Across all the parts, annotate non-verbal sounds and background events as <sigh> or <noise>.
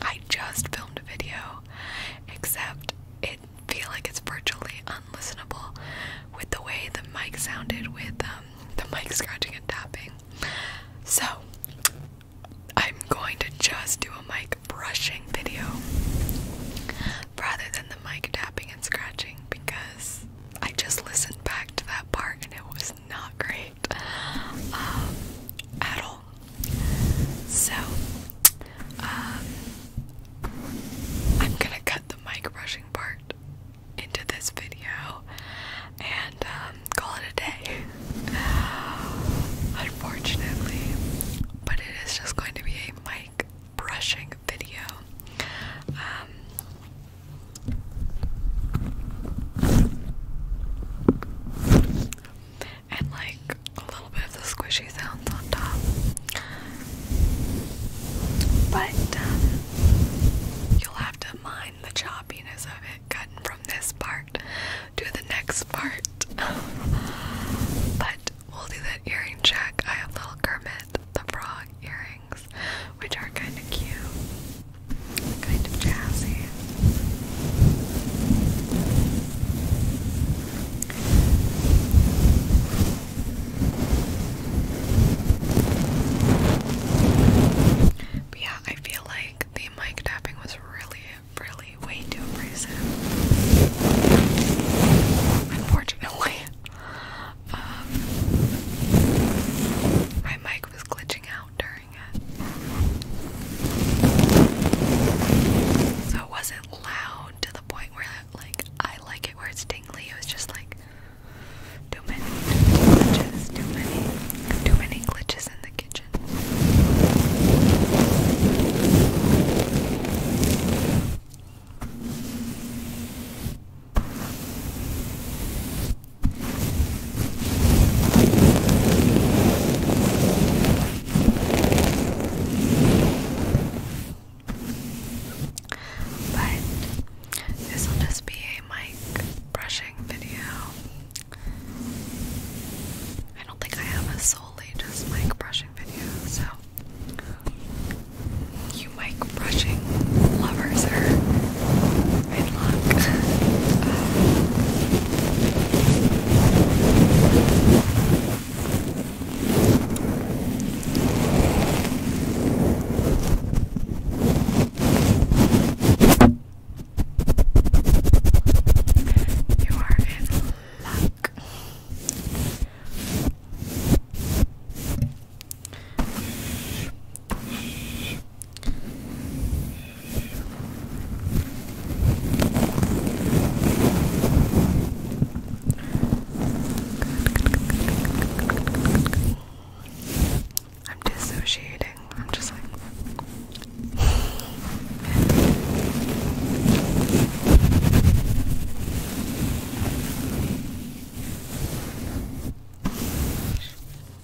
I just filmed a video, except it feel like it's virtually unlistenable with the way the mic sounded with um, the mic scratching and tapping. So I'm going to just do a mic brushing video rather than the mic tapping and scratching because I just listened back to that part and it was not great. Um, at all. So, um, I'm gonna cut the mic brushing part into this video and um, call it a day. <sighs> Unfortunately, but it is just going to be a mic brushing video and like a little bit of the squishy sounds on top. But um, you'll have to mind the choppiness of it, cutting from this part to the next part. but we'll do that earring check. I have little Kermit the Frog earrings, which are kind of cute kind of jazzy. But yeah, I feel like the mic tapping was really, really way too abrasive. Unfortunately. <laughs> Um, my mic was glitching out during it. So it wasn't loud to the point where like I like it where it's tingly. It was just like too many glitches, too many, too many glitches in the kitchen. But this will just be a mic brushing video. I don't think I have a solely just mic brushing video, so you mic brushing lovers are Good luck. you are in luck. I'm dissociating. I'm just like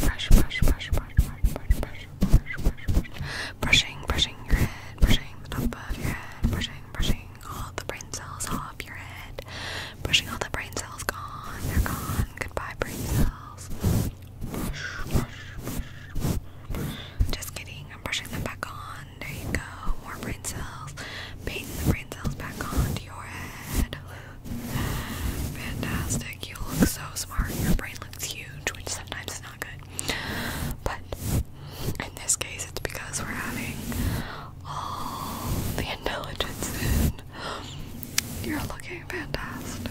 Brush, brush, brush, brush, brush, brush, brush, brush, brush, brush. Brushing, brushing your head, brushing the top of your head, brushing, brushing all the brain cells off your head, brushing all the brain cells gone, they're gone. Goodbye, brain cells. Brush, brush, brush. Just kidding, I'm brushing them back on. There you go. More brain cells. Paint the brain cells back onto your head. Fantastic. You look so smart. Your brain looks huge, which sometimes is not good. But in this case, it's because we're having all the intelligence in. You're looking fantastic.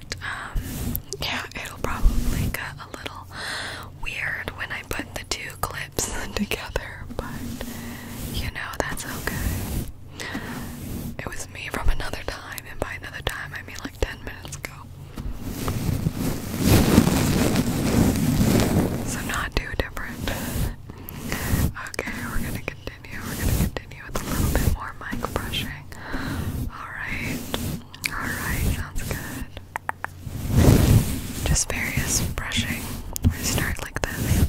um, yeah, it'll probably get a little weird when I put the two clips <laughs> together, but you know, that's okay. It was me from another time, and by another time, I mean like 10 minutes ago. So, not too different. okay, we're gonna continue. We're gonna continue with a little bit more mic brushing. Alright. Alright, sounds good. Just various brushing. I start like this.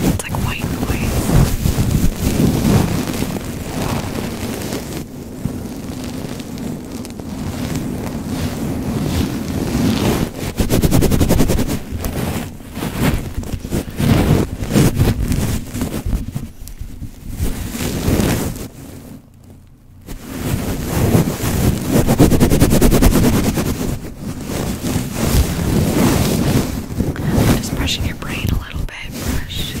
It's like white noise. Just brushing your brain a little bit, brushing.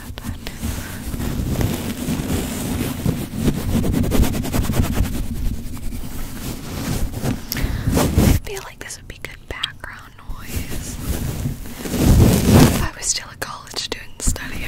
I feel like this would be good background noise if I was still a college student studying.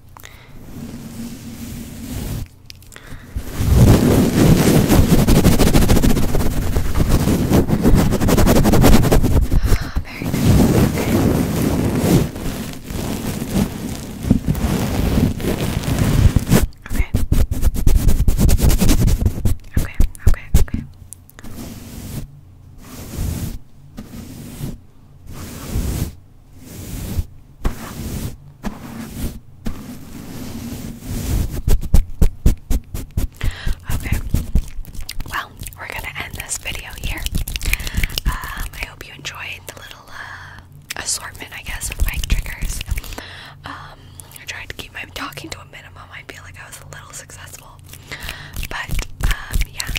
Very nice. Okay. Okay. Okay. Okay. Okay. Okay. Okay, well, we're gonna end this video here. Um, I hope you enjoyed the little uh, assortment, I guess, of my triggers. Um, I tried to keep my talking to a minimum. I feel like I was a little successful, but um, yeah,